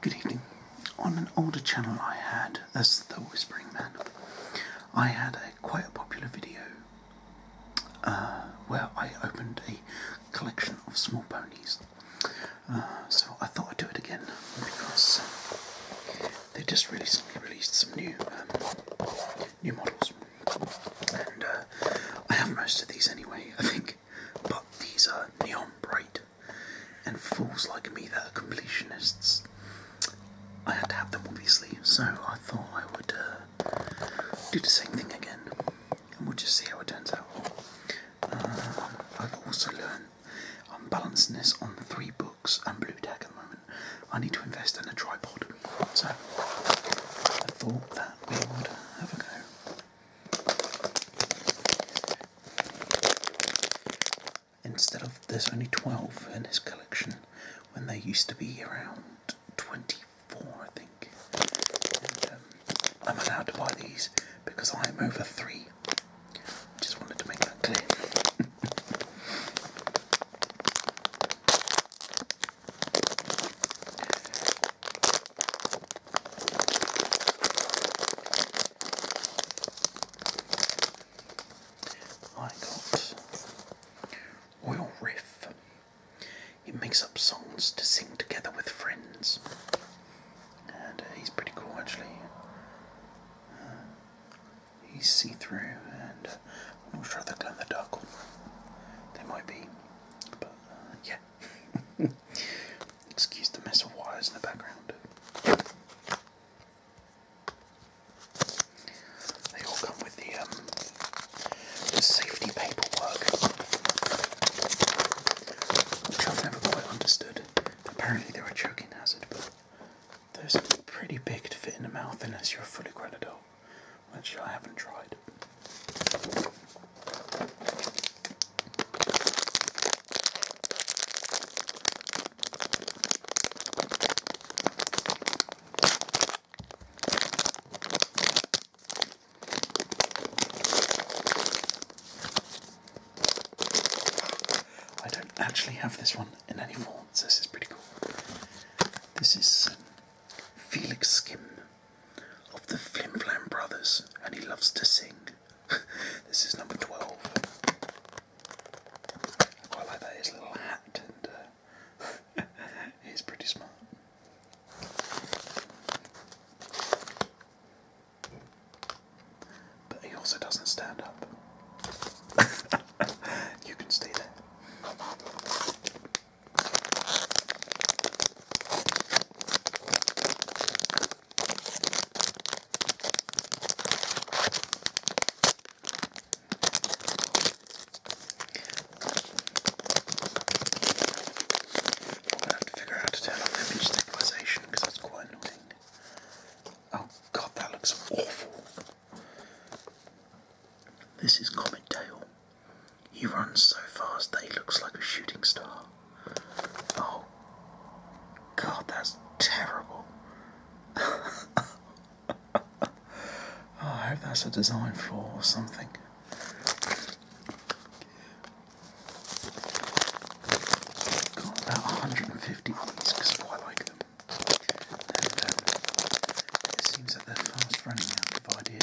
Good evening. On an older channel I had, as the Whispering Man, I had a quite a popular video uh, where I opened a collection of small ponies. Uh, so I thought I'd do it again because they just recently released some new um, new models. And uh, I have most of these anyway, I think. But these are neon bright. And fools like me that are completionists, I had to have them obviously. So I thought I would uh, do the same thing again. And we'll just see how it turns out. Uh, I've also learned I'm balancing this on three books and blue tack at the moment. I need to invest in a tripod. So I thought that we would have a go. Instead of there's only 12 in this collection when there used to be around 24, I think. Um, I'm allowed to buy these because I am over three. Just wanted to make that clear. I got Oil Riff. It makes up songs to sing together with friends. And uh, he's pretty cool actually. Uh, he's see through and uh, I'm not sure they're glow the dark They might be, but uh, yeah. Excuse the mess of wires in the background. They all come with um, the, safety paperwork, which I've never quite understood. Apparently, they're a choking hazard, but those are pretty big to fit in the mouth unless you're a fully grown adult which I haven't tried. I don't actually have this one in any form, so this is pretty cool. This is Felix Skim of the Flim Flam Brothers, and he loves to sing. this is number 12. I quite like that, his little hat, and uh, he's pretty smart. But he also doesn't stand up. you can stay there. I'm gonna have to figure out how to turn on image stabilization because that's quite annoying. Oh god, that looks awful. This is Comet Tail. He runs so fast that he looks like a shooting star. Oh, God, that's terrible. Oh, I hope that's a design flaw or something. Got about 150 of because I like them. Um, it seems that they're fast running out. I like the name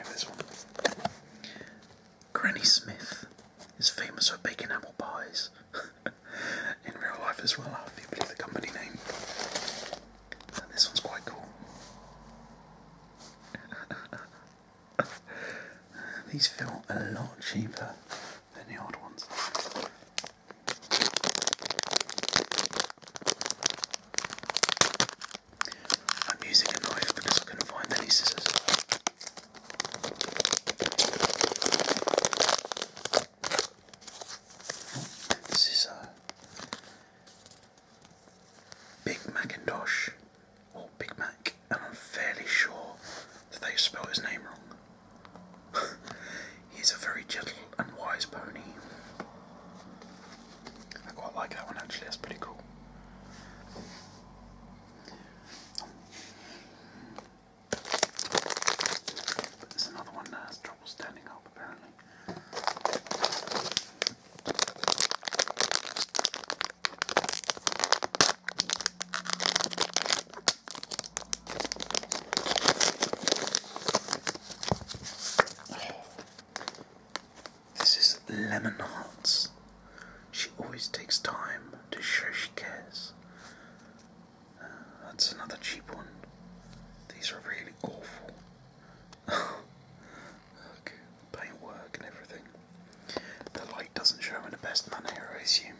of this one. Granny Smith is famous for baking apple pies. In real life as well, I believe the company name. this one's quite cool. These feel a lot cheaper than the old ones. I'm using a knife because I couldn't find any scissors. This is a Big Macintosh or Big Mac, and I'm fairly sure that they have spelled his name wrong. He's a very gentle and wise pony. I quite like that one actually, that's pretty cool. But there's another one that has trouble standing up apparently. This is Lemon Hearts. She always takes time to show she cares. Uh, that's another cheap one. These are really awful. look, paintwork and everything. The light doesn't show in the best manner, I assume.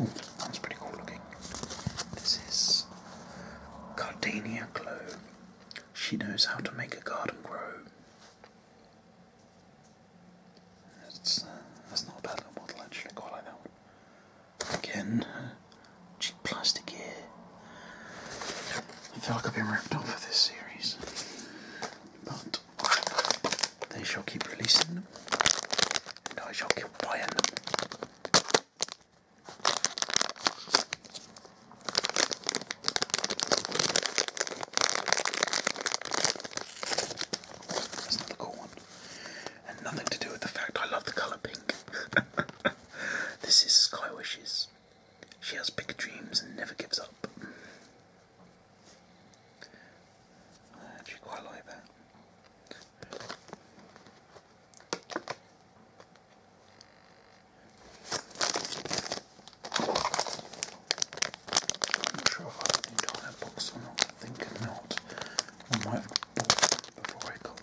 Ooh, that's pretty cool looking. This is Gardenia clove. She knows how to make a garden grow. That's, uh, that's not a bad little model actually, quite like that one. Again, uh, cheap plastic here. I feel like I've been ripped off for this series. But they shall keep releasing them, I shall keep buying them. That's another cool one. And nothing to do with the fact I love the colour pink. this is Sky Wishes. She has big dreams and never gives up. I actually quite like that i I opened that box or not. I think not. I might have it before I got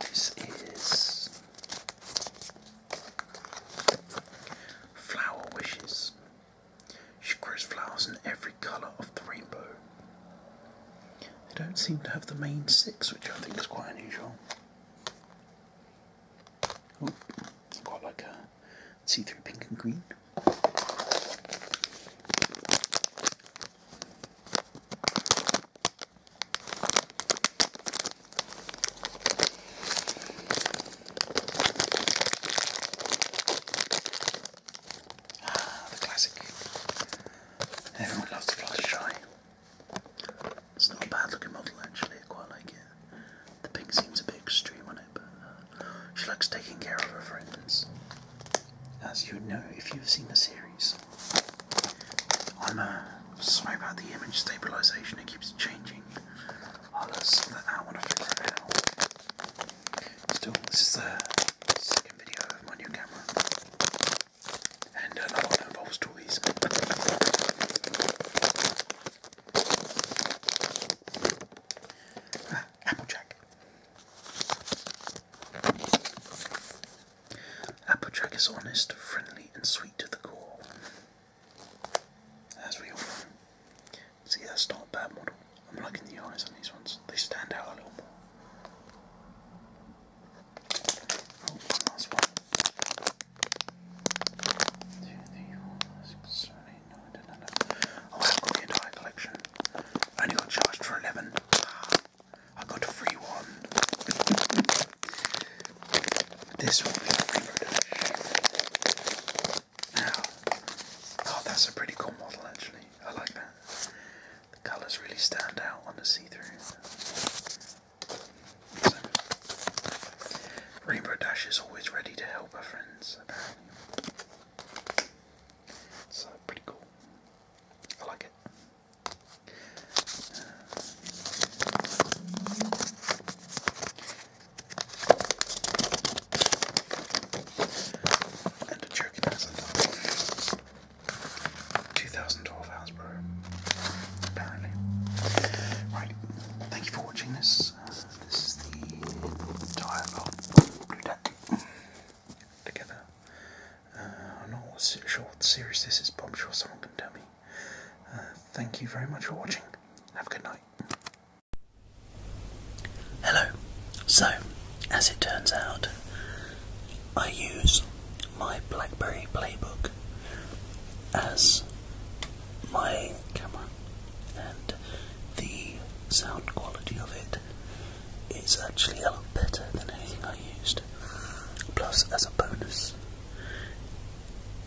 This is Flower Wishes she grows flowers in every colour of the rainbow. They don't seem to have the main six, which I think is quite unusual. Oh, quite like a see through pink and green. Ah, the classic. Everyone loves the Fluttershy. It's not a bad looking model actually, I quite like it. The pink seems a bit extreme on it, but uh, she likes taking care of her friends. As you know if you've seen the series. I'm uh, sorry about the image stabilization, it keeps changing. I'll uh, that out Still, this is the second video of my new camera, and another one involves toys. Ah, Applejack. Applejack is honest, friendly, and sweet to the core. As we all know, See, that's not bad model. I'm liking the eyes on these ones. They stand out a little more. Oh, one last one. I've got the entire collection. I only got charged for 11. Ah, I got a free one. this will be my favourite oh, that's a pretty cool model actually. I like that. The colours really stand out on the see-through. Rainbow Dash is always ready to help her friends, apparently. So pretty cool. I like it. And a joking hazard. 2012 Hasbro. Apparently. Right. Thank you for watching this. Uh, this is the entire lot blue deck together. Uh, I'm not sure what series this is, but I'm sure someone can tell me. Uh, thank you very much for watching. Have a good night. Hello. So, as it turns out, I use my BlackBerry Playbook as my camera, and the sound quality of it is actually a lot better than anything I used. Plus, as a bonus,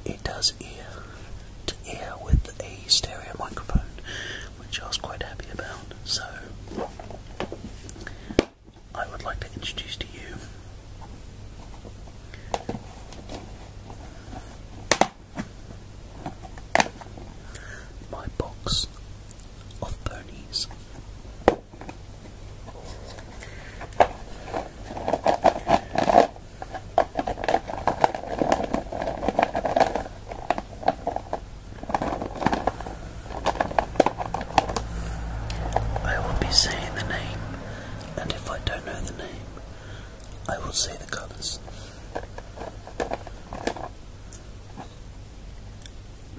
it does ear to ear with a stereo microphone, which I was quite happy about. So, I would like to introduce to you my box of ponies. I will be saying the name, and if I don't know the name, I will say the colours.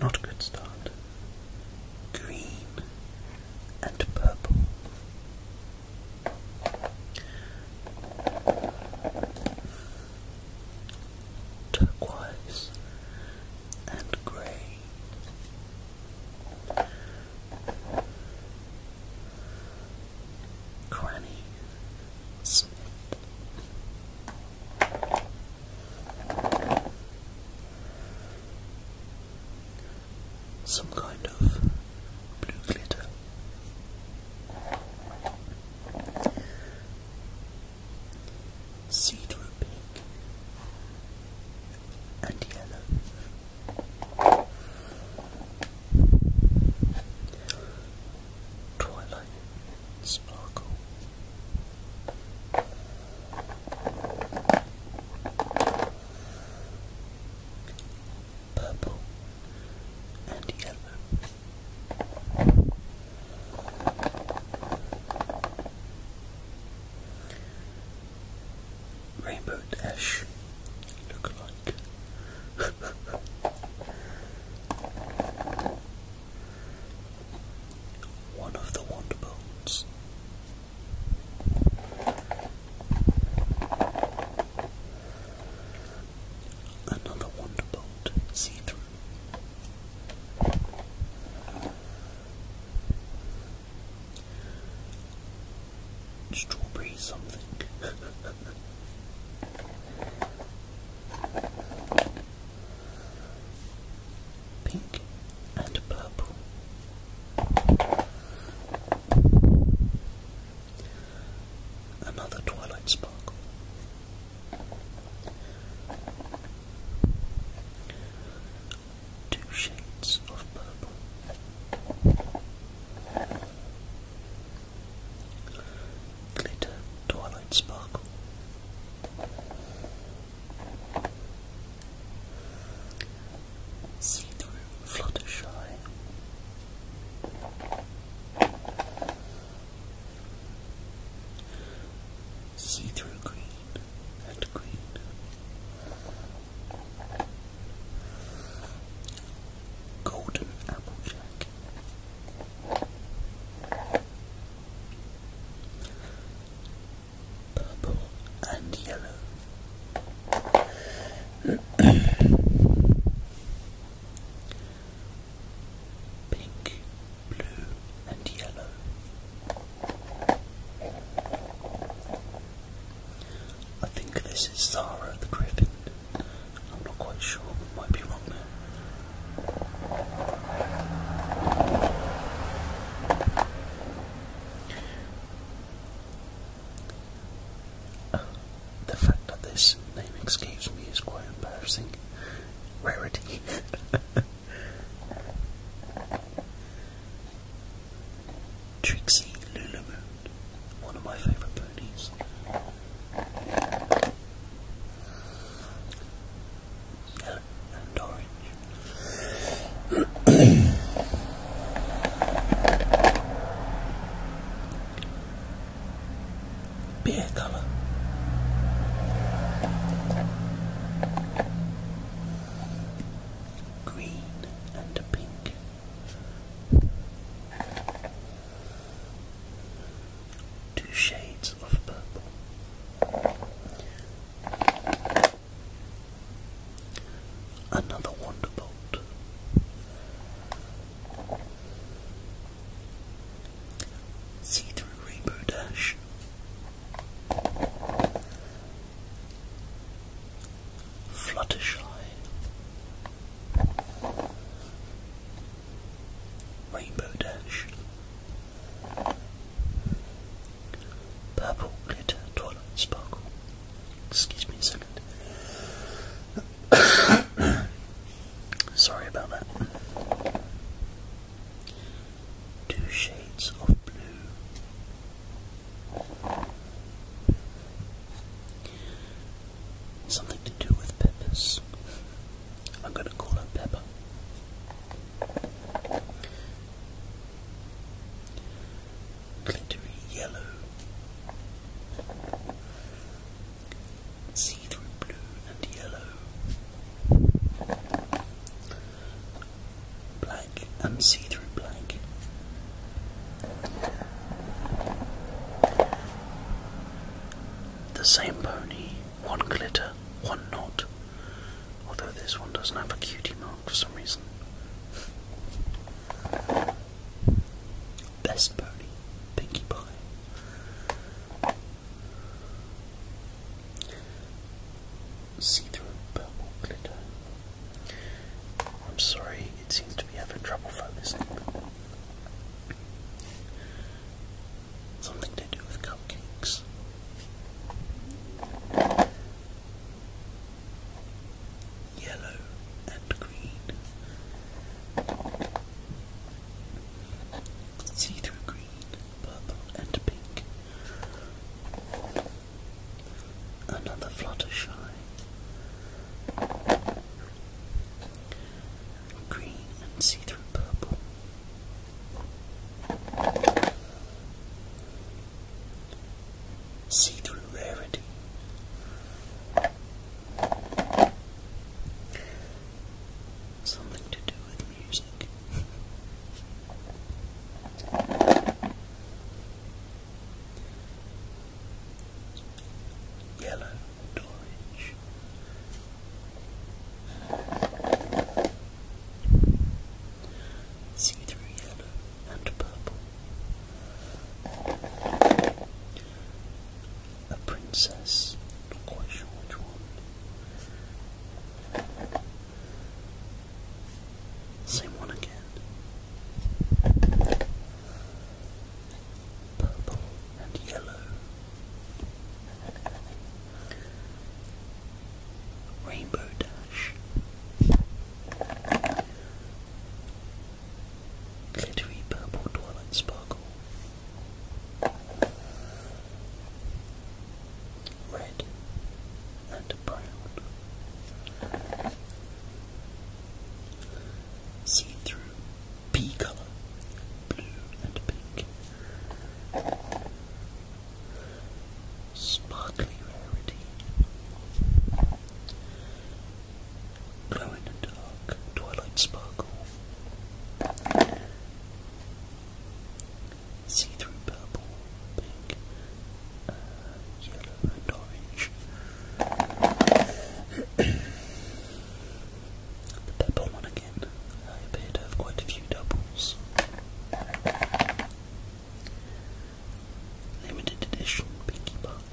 Not a good start. Green and purple turquoise, and grey. Granny Smith. Some kind of blue glitter. Seed were pink and yellow. Twilight sparkle. Purple and yellow. Rainbow Dash look like one of the Wanderbolts. Another Wonderbolt see through. Strawberry something. Pink and purple. Another Twilight Sparkle. Two shades of purple. Glitter Twilight Sparkle. See through Fluttershy. See through green and green. Golden Applejack. Purple and yellow. pink, blue, and yellow. I think this is Zara the Griffin. I'm not quite sure, might be wrong there. Ah, the fact that this name escapes me is quite embarrassing. Rarity. Trixie Lulamoon, one of my favourite ponies. Yellow and orange. beer colour. Green and a pink. Two shades of purple. Another Wonderbolt. See through Rainbow Dash. Fluttershy. Rainbow Dash. Purple Glitter Twilight Sparkle. Excuse me a second. Sorry about that. Two shades of blue. Something to do with peppers. I'm going to call her Pepper. Glittery yellow see through blue and yellow, black and see through black. The same pony, one glitter, one knot, although this one doesn't have a cutie mark for some reason. Best pony, Pinkie Pie. See-through purple glitter. I'm sorry, it seems to be having trouble focusing. Something to do with cupcakes. Yellow and green. See through green, purple, and pink. Another Fluttershy. Green and see through purple. See through rarity. Something to do with music. Yellow orange. See through yellow and purple a princess. Not quite sure which one. Same one again. Purple and yellow. Rainbow Dash. Glittery purple twilight sparkle red and brown. See-through pea colour, blue and pink. Sparkly rarity. Glowing and dark, twilight sparkle, See through purple, pink, uh, yellow, and orange. the purple one again. I appear to have quite a few doubles. Limited edition Pinkie Pie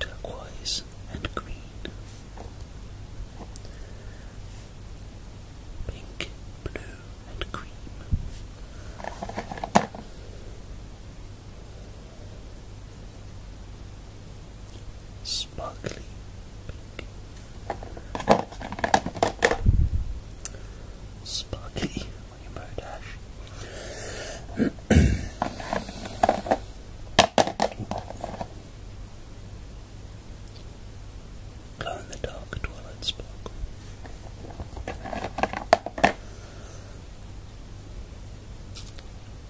turquoise and green, pink, blue, and cream. Sparkly pink, sparkly fucking in the dark twilight sparkle.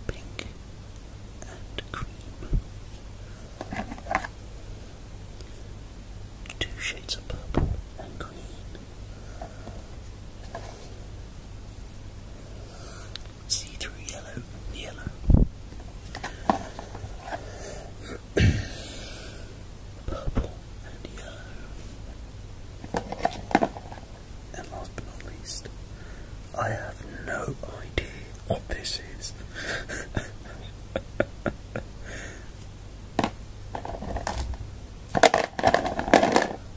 Pink and cream. Two shades of purple and green. See through yellow, yellow, purple, and yellow. And last but not least, I have no idea what this is.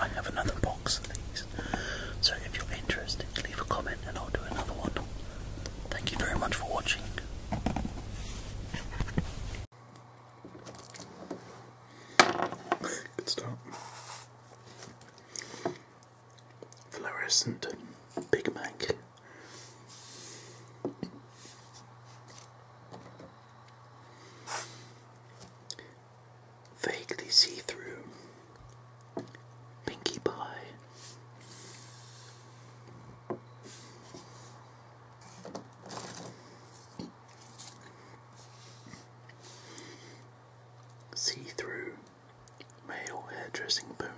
I have another box so if you're interested, leave a comment and I'll do another one. Thank you very much for watching. Good start. Fluorescent Big Mac. Vaguely see through. Pinkie Pie. See through male hairdressing pony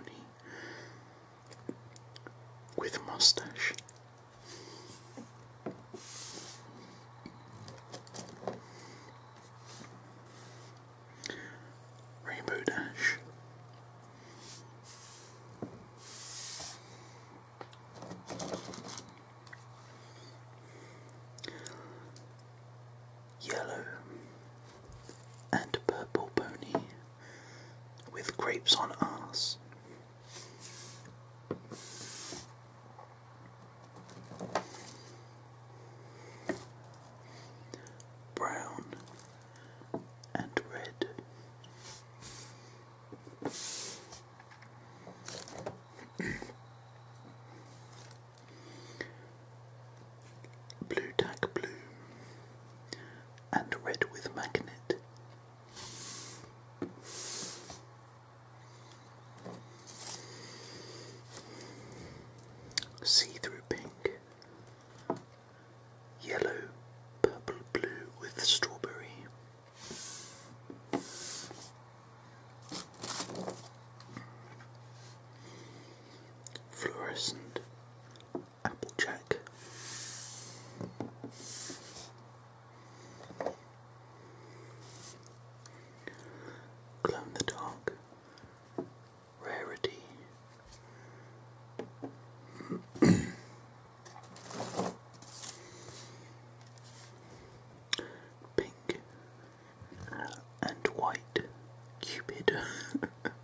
with mustache. Rainbow Dash. Yellow and purple pony with grapes on ass. Brown and red. blue tack blue and red with magnet See through pink, yellow, purple, blue with strawberry. Fluorescent, Applejack. Glow the dark. Rarity. Pink uh, and white Cupid.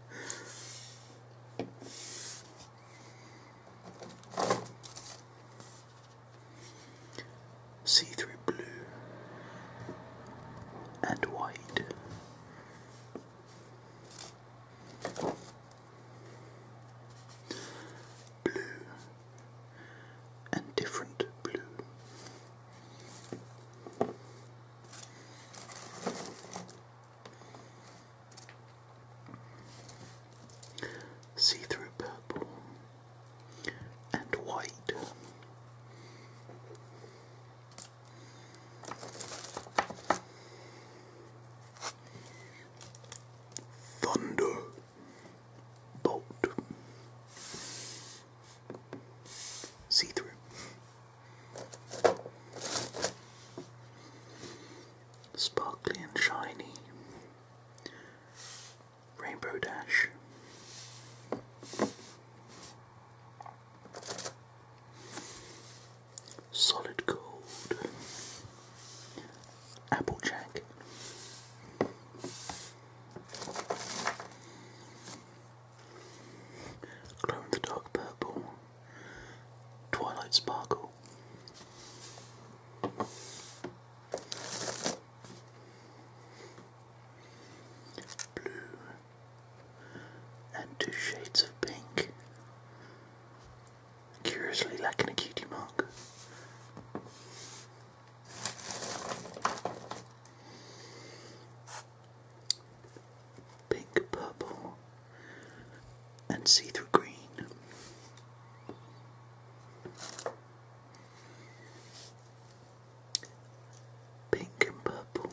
See through blue and white. Blue and different blue see through purple and white. Thunder bolt see through Sparkly and shiny. Rainbow Dash. Solid Gold. Applejack. Glow the Dark Purple. Twilight Sparkle. Blue and two shades of pink, curiously like an cutie mark. Pink, purple, and see through green. Pink and purple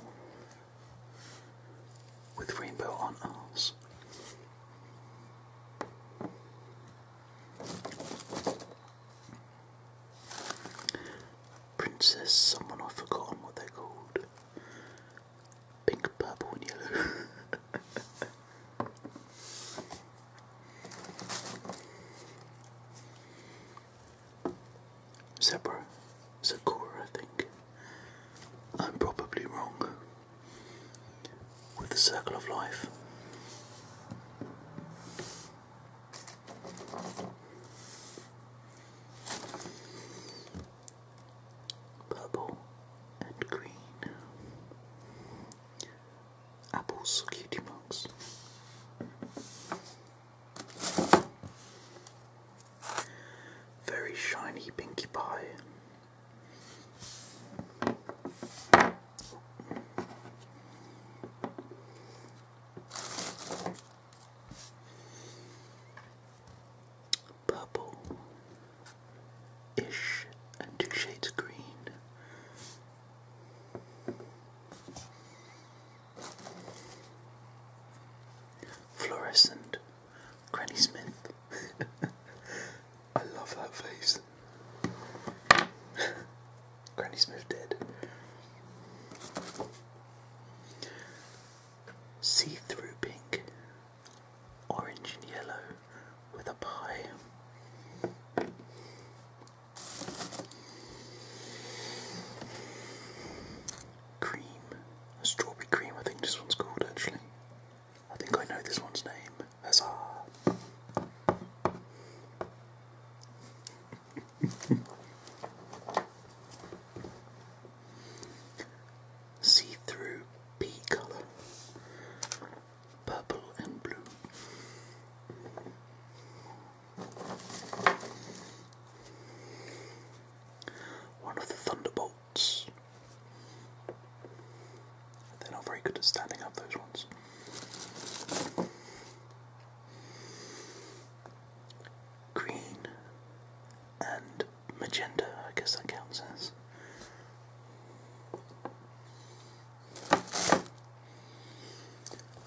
with rainbow on ours. Princess, someone I've forgotten what they called pink, purple, and yellow. Zebra, Sakura, I think. I'm probably wrong with the circle of life purple and green apples, cutie marks. Very shiny Pinkie Pie purple-ish and two shades green. Fluorescent Granny Smith. I love that face. Granny Smith dead. See through pink orange and yellow with a pie. Cream, strawberry cream, I think this one's called actually. I think I know this one's name. Huzzah! see-through pea colour, purple and blue. One of the thunderbolts. They're not very good at standing up, those ones. Green and magenta, I guess that counts as.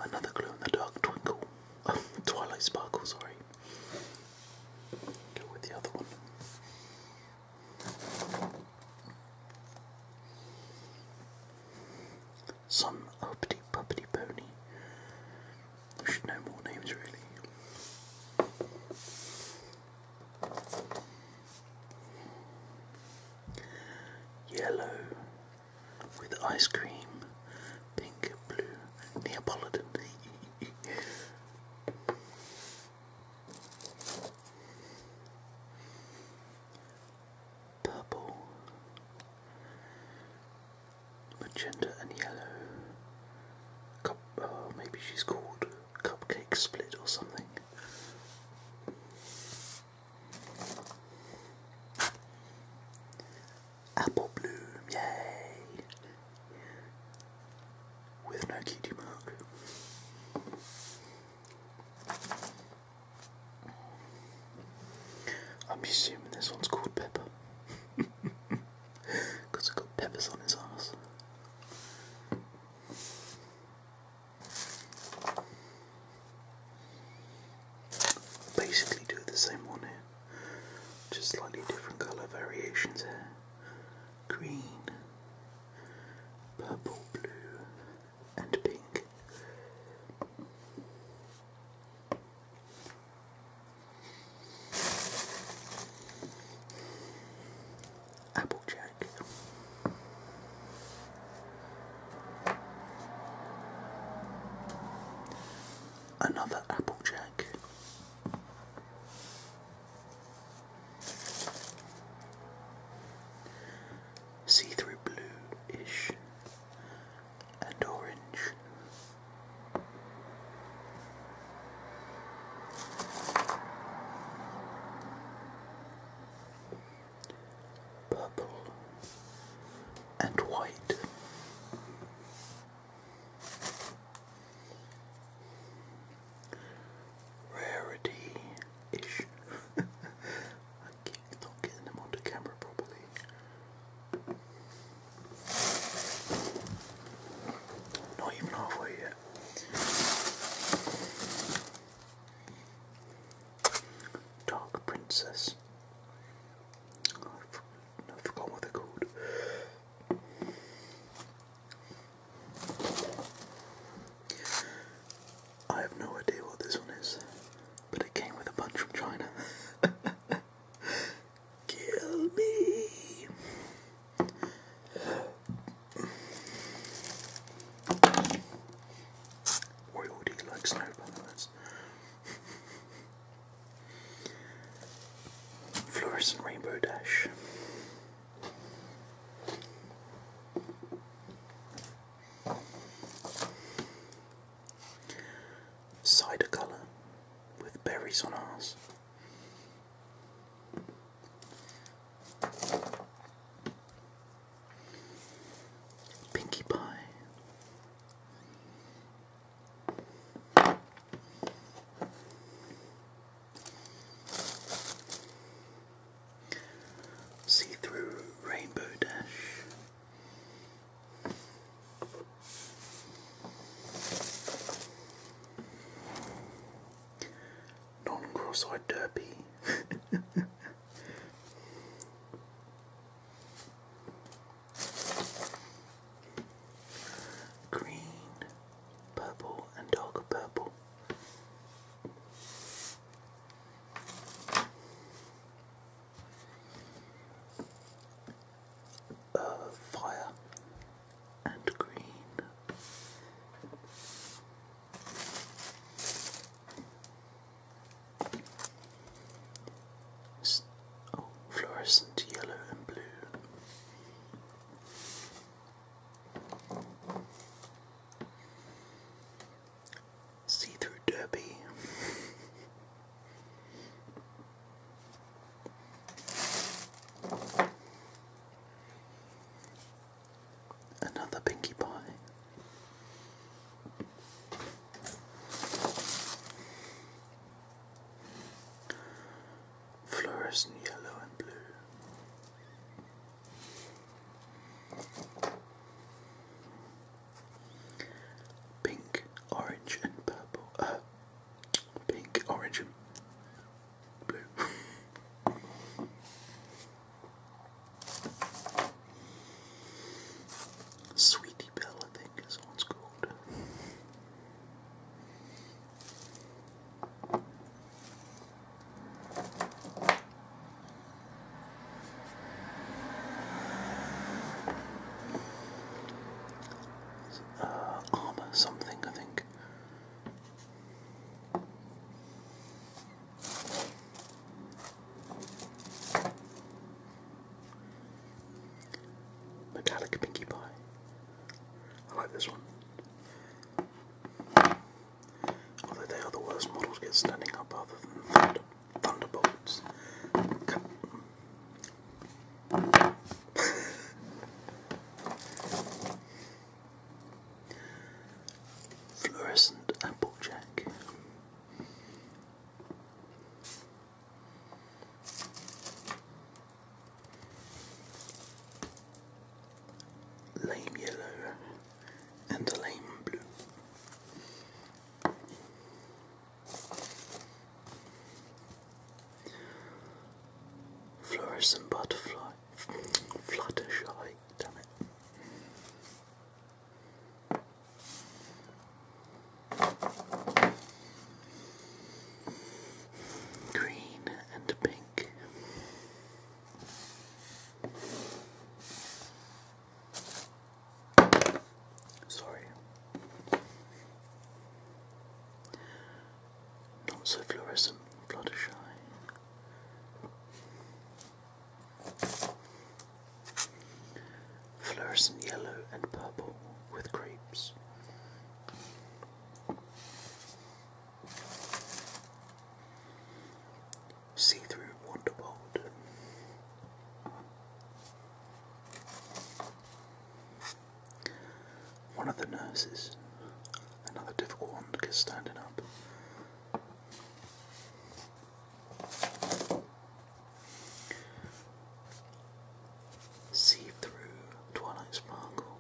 Another glow in the dark twinkle. Twilight Sparkle, sorry. Go with the other one. Some uppity puppity pony. I should know more names really. Yellow with ice cream, pink, and blue, Neapolitan. Purple, magenta, and yellow. Oh, maybe she's called Cupcake Split or something. Apple Bloom, yay! With no cutie mark. I'm assuming this one's called Pepper. Because it got peppers on his arse. Basically, do the same one here, just slightly different colour variations here green, purple, blue, and pink. Applejack. Another Applejack. See through blue ish and orange purple and white. Rarity ish. I keep not getting them onto camera properly. Not even halfway yet. Dark Princess. Oh, I forgot what they called. I have no idea what this one is, but it came with a bunch from China. Kill me! Royalty like snow pilots. Fluorescent rainbow dash. Cider colour with berries on ours. Pinkie Pie. See through Rainbow Dash non-cross-eyed derby. Green, purple, and darker purple. fire and green oh, fluorescent yellow and blue. See through derby. Another Pinkie Pie. Fluorescent yellow and blue. Pink, orange, and purple. Uh, pink, orange, Sweetie Belle, I think, is what called. Uh, armor something, I think. Metallic Pinkie Pie. I like this one. Although they are the worst models get standing up other than Thunderbolts. Fluorescent Applejack. Lame yellow and lame blue. Fluorescent butterfly, fluttershy, Green and pink. Sorry. Not so fluorescent, Fluttershy. Fluorescent yellow and purple with grapes. See through Wonderbold. One of the nurses. Another difficult one because standing up. See through Twilight Sparkle.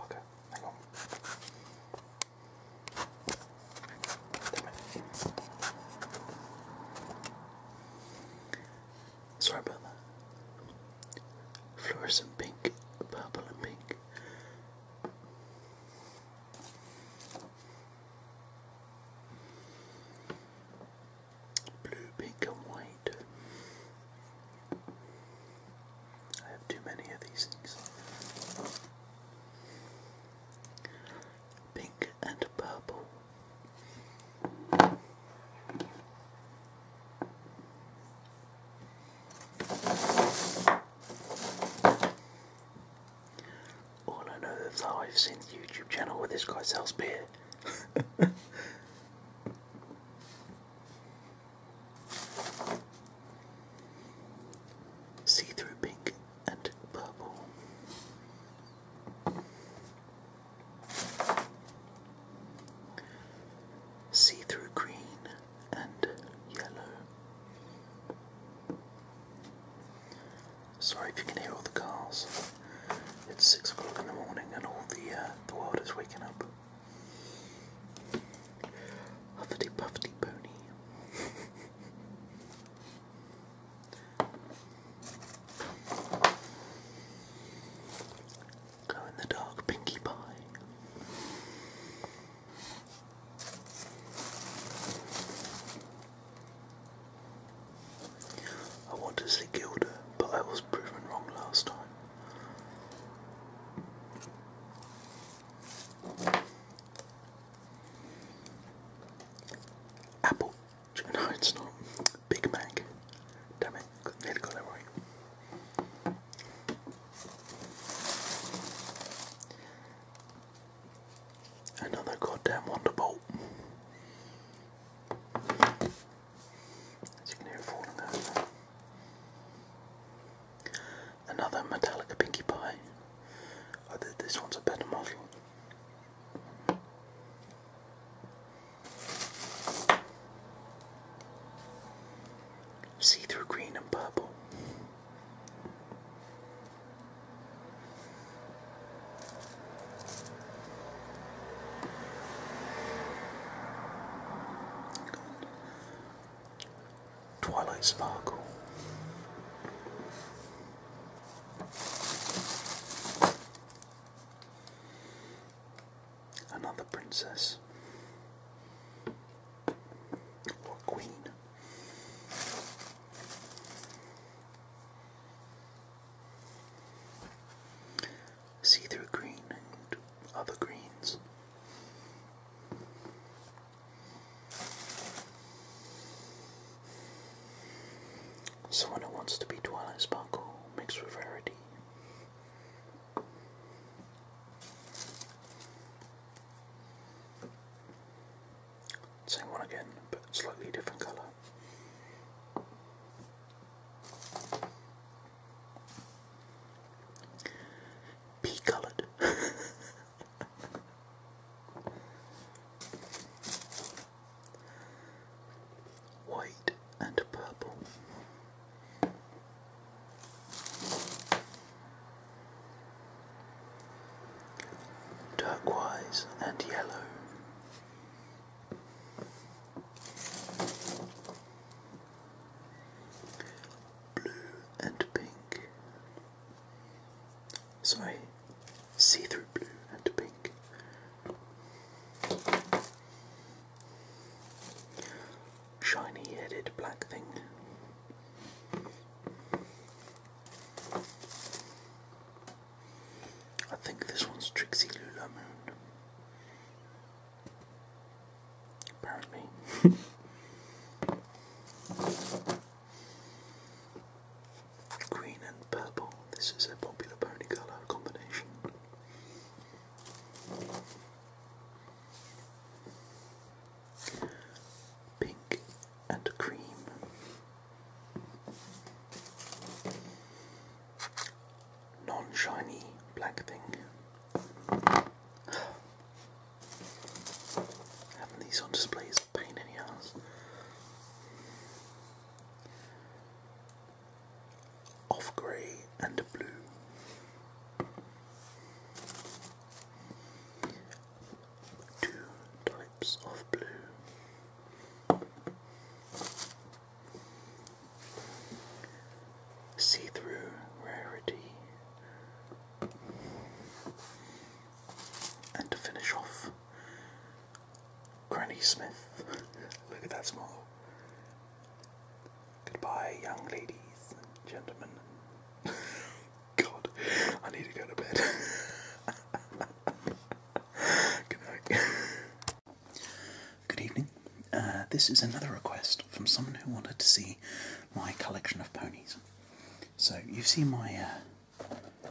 Okay, hang on. Damn Sorry about that. Fluorescent pink, purple and pink. Blue, pink and white. I have too many of these things. Pink and purple. All I know is how I've seen the YouTube channel where this guy sells beer. See through pink and purple. See through green and yellow. Sorry if you can hear all the cars. It's six o'clock in the morning and all the uh, the world is waking up. Huffity puffity pony. Glow in the dark Pinkie Pie. I want to see Gilda, but I was proven wrong last time. Apple. No, it's not. Big Mac. Damn it. They got Another goddamn Wonderbolt. As you can hear falling Another Metallica Pinky Pie. Oh, this one's a better model. See through green and purple. Twilight Sparkle another princess or queen. See through green and other greens. Someone who wants to be Twilight Sparkle mixed with rarity same one again, but slightly different colour. Pea coloured. white and purple. Turquoise and yellow. Blue and pink. Sorry, see through blue and pink shiny headed black thing. I think this one's Trixie Moon. Apparently. Green and purple. This is a popular pony colour combination. Pink and cream. Non shiny black thing. Having these on display is a pain in the ass of grey and blue. Two types of blue. See through rarity. And to finish off, Granny Smith. Look at that smile. Goodbye, young ladies gentlemen. God, I need to go to bed. Good Good evening. Uh, this is another request from someone who wanted to see my collection of ponies. So, you've seen my uh,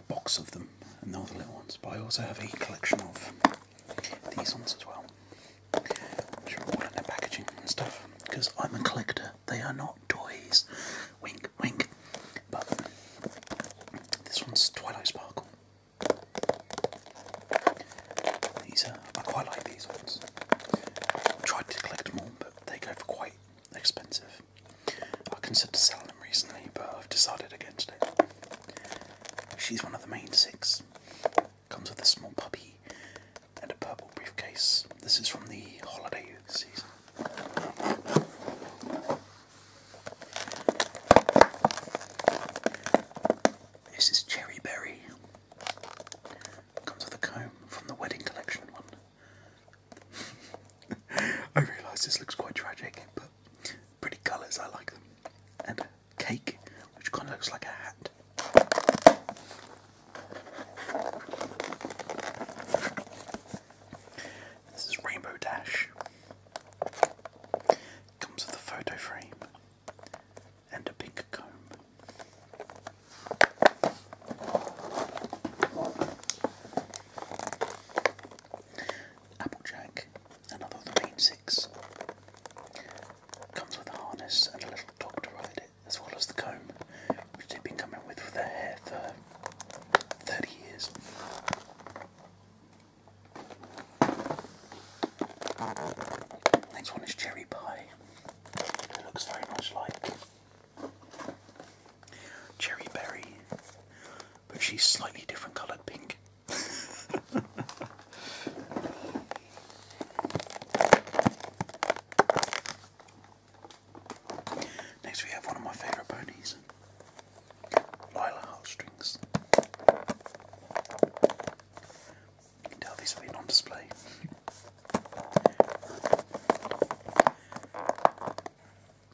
box of them, and all the little ones, but I also have a collection of these ones as well, which all in their packaging and stuff, because I'm a collector. They are not toys. Wink, wink. But this one's Twilight Sparkle. These are, I quite like these ones. I've tried to collect them all, but they go for quite expensive. I considered selling them recently, but I've decided against it. She's one of the main six. Comes with a small puppy and a purple briefcase. This is from the holiday season. This is Cherry Berry. Comes with a comb from the wedding collection one. I realise this looks quite tragic, but pretty colours, I like them. And cake, which kind of looks like a hat. This is Rainbow Dash. Comes with a photo frame and a pink comb. Applejack, another of the main series. Comes with a harness and a little dog to ride it, as well as the comb, which they've been coming with for their hair for 30 years. Next one is cherry pie. It looks very much like cherry berry, but she's slightly different coloured pink. Next, we have one of my favourite ponies, Lila Heartstrings. You can tell these have been on display.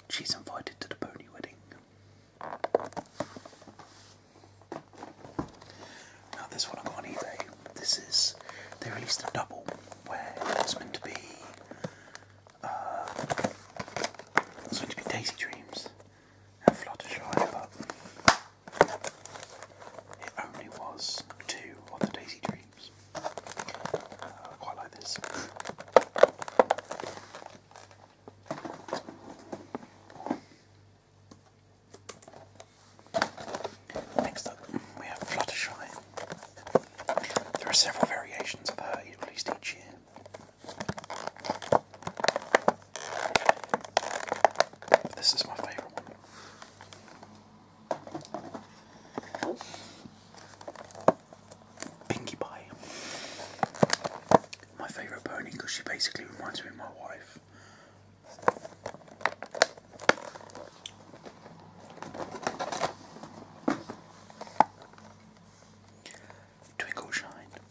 She's invited to the pony wedding. Now this one I got on eBay. This is they released a double where it was meant to be uh, it was meant to be Daisy Dreams and Fluttershy, but it only was two of the Daisy Dreams. Uh, quite like this. Next up, we have Fluttershy. There are several variations of her at least each year. this is my favourite one. Pinkie Pie. My favourite pony because she basically reminds me of my wife. Twinkle Shine.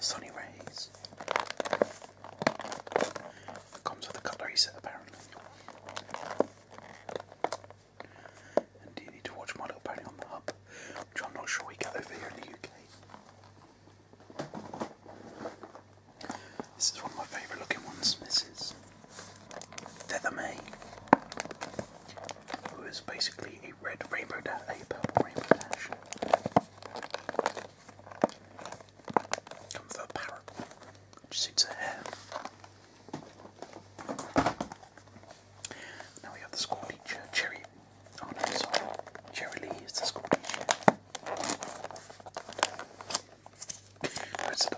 Sunny Rays. comes with a cutlery set apparently. And you need to watch My Little Pony on the Hub, which I'm not sure we get over here in the UK. This is one of my favourite looking ones, this is Feathermay, who is basically a red rainbow dash, a purple rainbow dash. Come for a parrot. Just eats the Now we have the Scottish cherry. Oh no, sorry. Cherry Lee is the Scottish. Where's the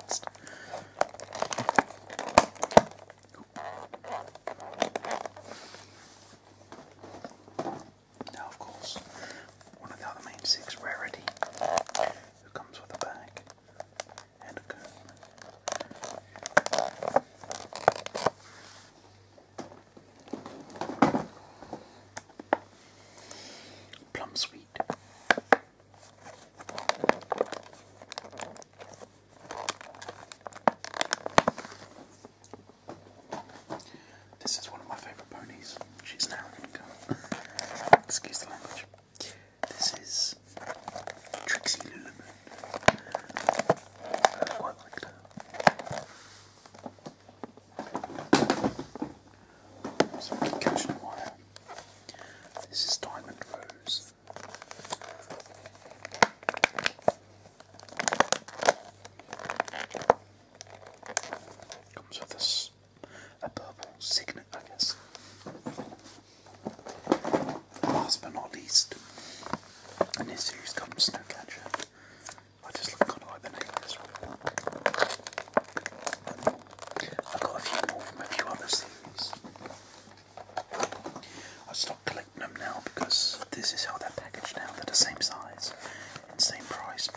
now, of course, one of the other main six rarity who comes with a bag and a comb. Plum sweet. This is one of my favourite ponies. She's now going Excuse the language. This is Trixie Lulumoon. I quite like her. Some concussion wire. This is Diamond Rose. Comes with a purple signet, I guess. Last but not least, in this series comes Snowcatcher. I just kind of like the name of this one. I've got a few more from a few other series. I stopped collecting them now because this is how they're packaged now. They're the same size and same price,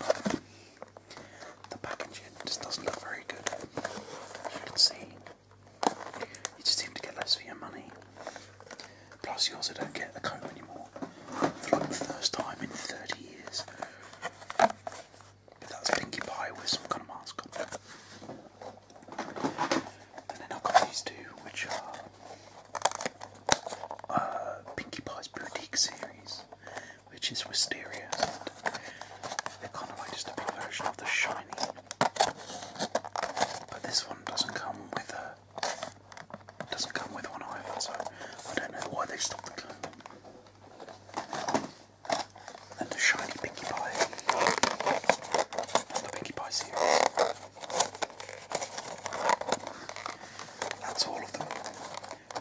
the packaging just doesn't look very good, as you can see. You just seem to get less for your money. Plus, you also don't get the comb anymore for like the first time in 30 years. But that's Pinkie Pie with some kind of mask on. And then I've got these two, which are uh, Pie's Boutique series which is Wisteria. And kind of like just a version of the shiny. But this one doesn't come with a doesn't come with one either, so I don't know why they stopped the And the shiny Pinkie Pie. And the Pie series. That's all of them.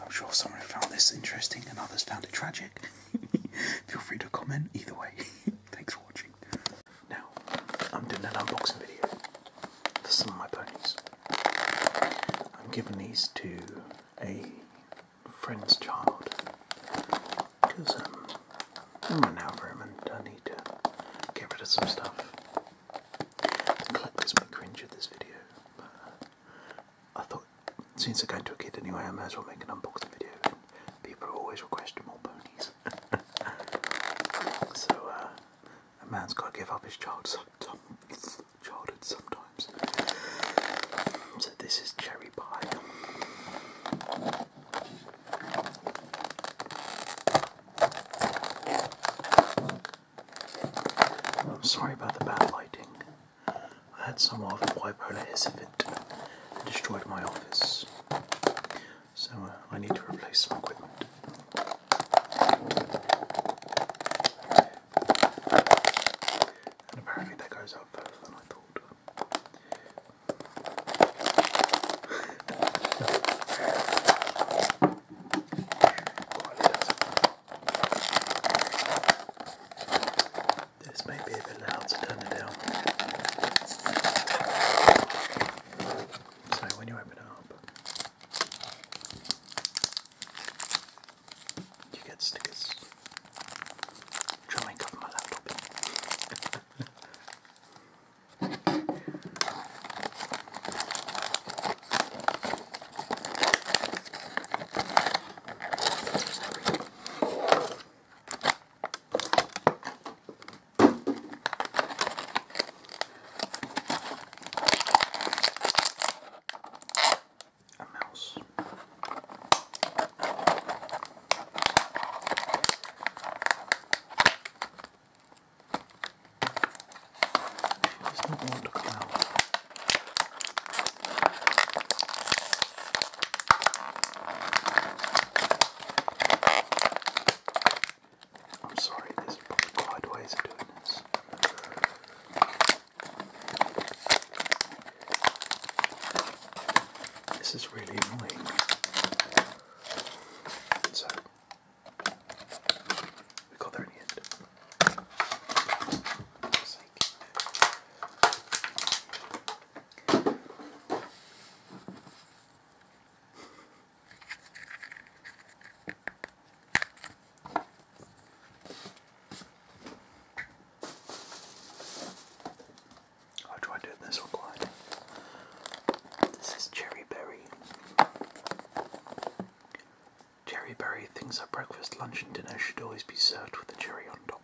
I'm sure someone found this interesting and others found it tragic. Feel free to comment either way. Thanks for watching. Now, I'm doing an unboxing video for some of my ponies. I'm giving these to a friend's child because um, I'm running out of room and I need to get rid of some stuff. collectors may cringe at this video, uh, I thought, since I go into a kid anyway, I might as well make an unboxing video. And people always request more ponies. so, uh, a man's got to give up his child childhood sometimes. So, this is Cherry Pie. I'm sorry about the bad lighting. I had someone with bipolar exhibit and destroyed my office. So uh, I need to replace some equipment. And apparently that goes up further than I thought. This may be a bit loud, so turn it down. So when you open up, you get stickers. I'm trying to cover my laptop. A mouse. I'm sorry, there's probably quite doing this. This is really annoying. So we got there in the end i try doing this recline. This is Cherry Berry. Cherry berry things at breakfast, lunch, and dinner should always be served with a cherry on top.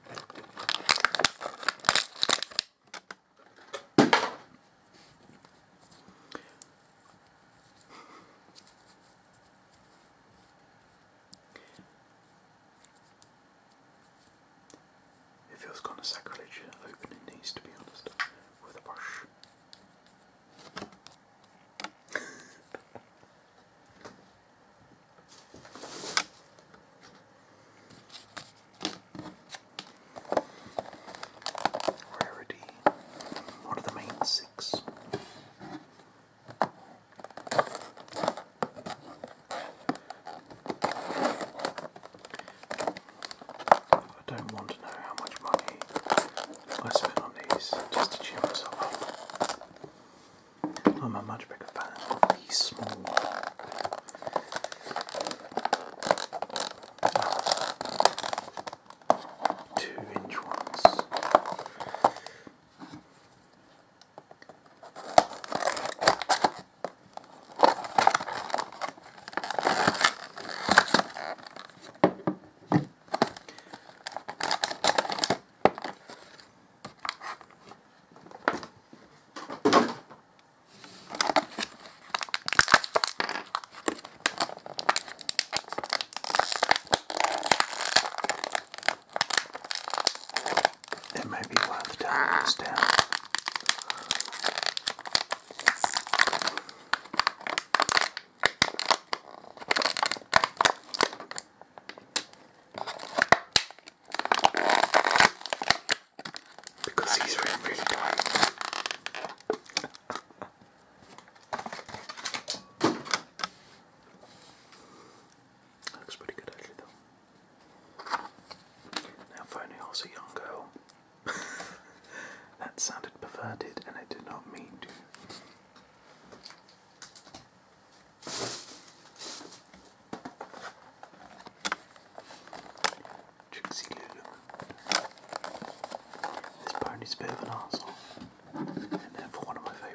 It feels kind of sacrilege opening these, to be honest, with a brush. Rarity. What are the main six? I don't want to know how much money I spend on these just to cheer myself up. Oh, I'm a much bigger fan of these small two inch ones. It may be worth turning this down. Because he's really, really tight. That looks pretty good actually though. Now if only a young girl. that sounded perverted and I did not mean to. Trixie Lulu. This pony's a bit of an arsehole. And therefore one of my favourite.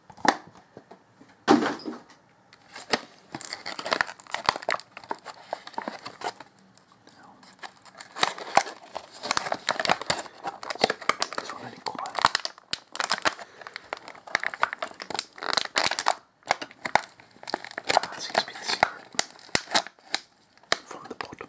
This one really quiet. Ah, that seems to be the secret. From the bottom.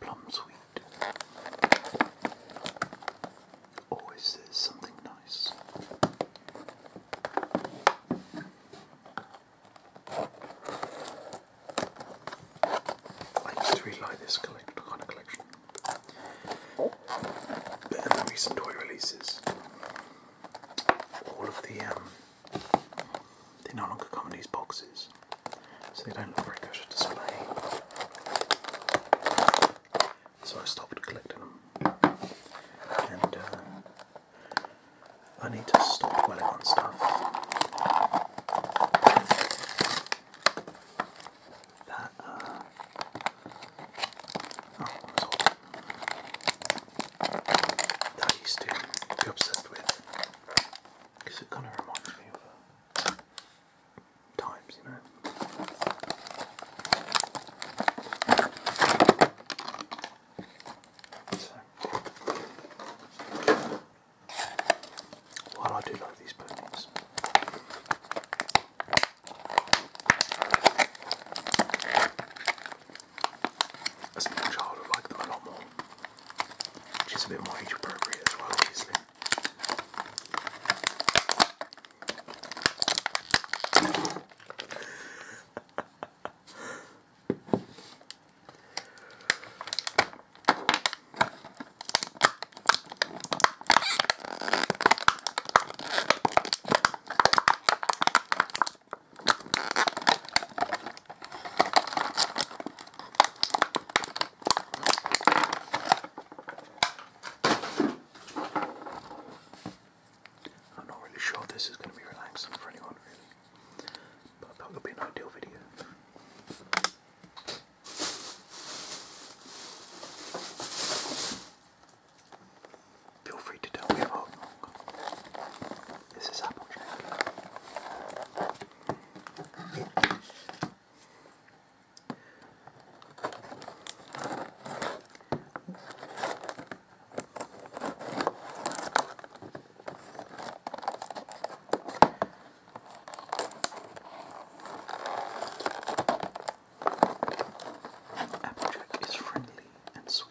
Plum sweet. Always there's something nice. I used to really this collect kind of collection. Better than recent toy releases all of the um, they no longer come in these boxes, so they don't look very good to display. So I stopped collecting them, and uh, I need to stop collecting stuff. That, uh, oh, that I used to be obsessed with because it kind of reminds me of uh, times, you know. So, while I do like these ponies. As a young child, I like them a lot more. She's a bit more age appropriate as well, obviously. I'm not really sure this is going to be relaxing for anyone really, but that would be an ideal video. Feel free to tell me about This is Applejack. Applejack is friendly and sweet.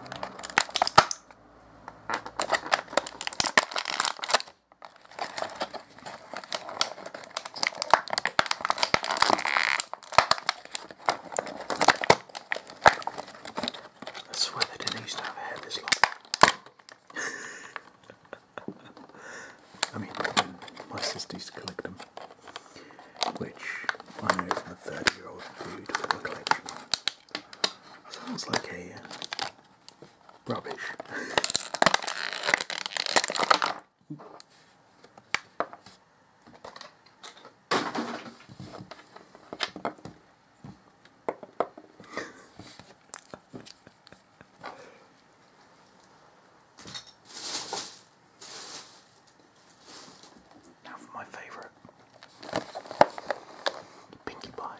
I swear they didn't used to have hair this long. I mean, my sisters collect them which I know from a 30 year old dude collection. Sounds like a uh, rubbish. Now for my favourite. Pinkie Pie,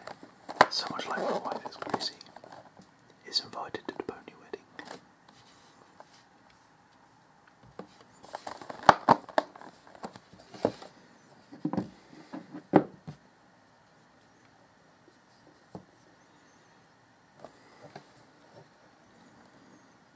so much like my wife is crazy, is invited to the pony wedding.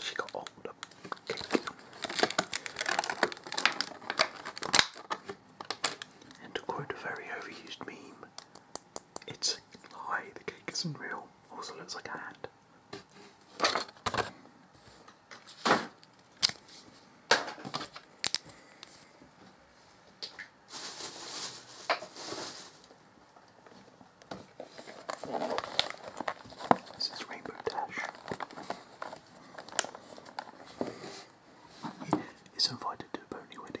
She got older. And to quote a very overused meme, it's a lie, the cake isn't real. Also looks like a hand. This is Rainbow Dash. Is invited to a pony wedding.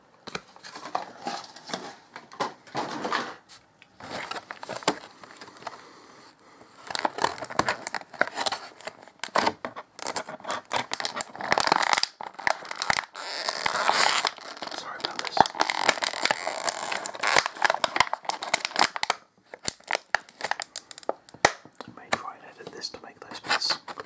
Sorry about this. I may try and edit this to make those bits a bit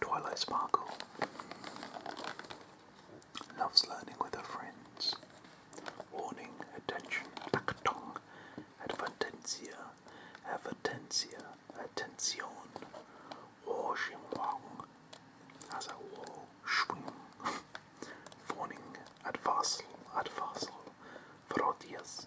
Twilight Sparkle loves learning with her friends. Warning, attention, actong, advertencia, advertencia, attention, washing wong, as shwing, warning, advarsal, advarsal, frodias,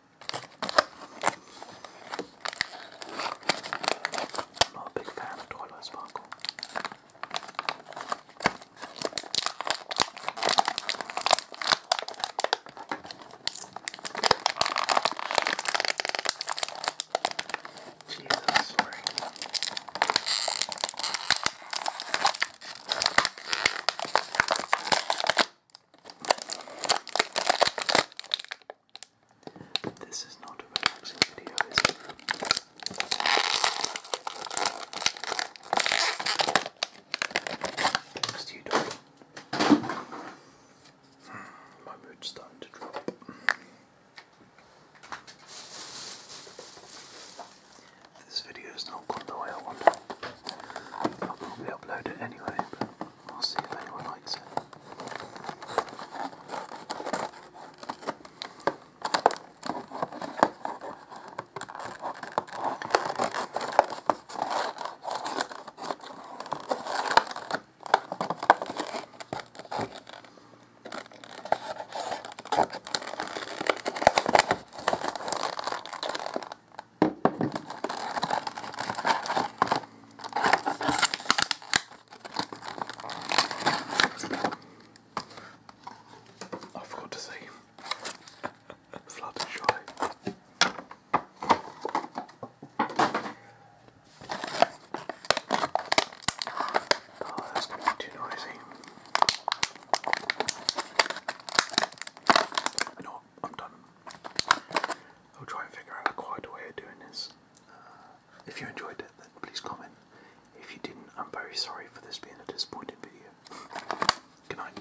I'm not a big fan of toilet Sparkle. Jesus, this is not a relaxing video, is you don't. Hmm, my mood's starting to drop. This video is not gone the way I want. I'll probably upload it anyway. I'll see if anyone likes it. I forgot to say Fluttershy. Oh, that's going to be too I'm done. I'll try and figure out a quieter way of doing this. Uh, if you enjoyed it, then please comment. If you didn't, I'm very sorry for this being a disappointing video. Good night.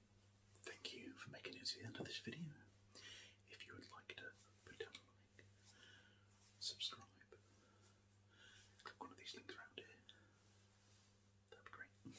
Thank you for making it to the end of this video. If you would like to put down a like, subscribe, click one of these links around here. That'd be great.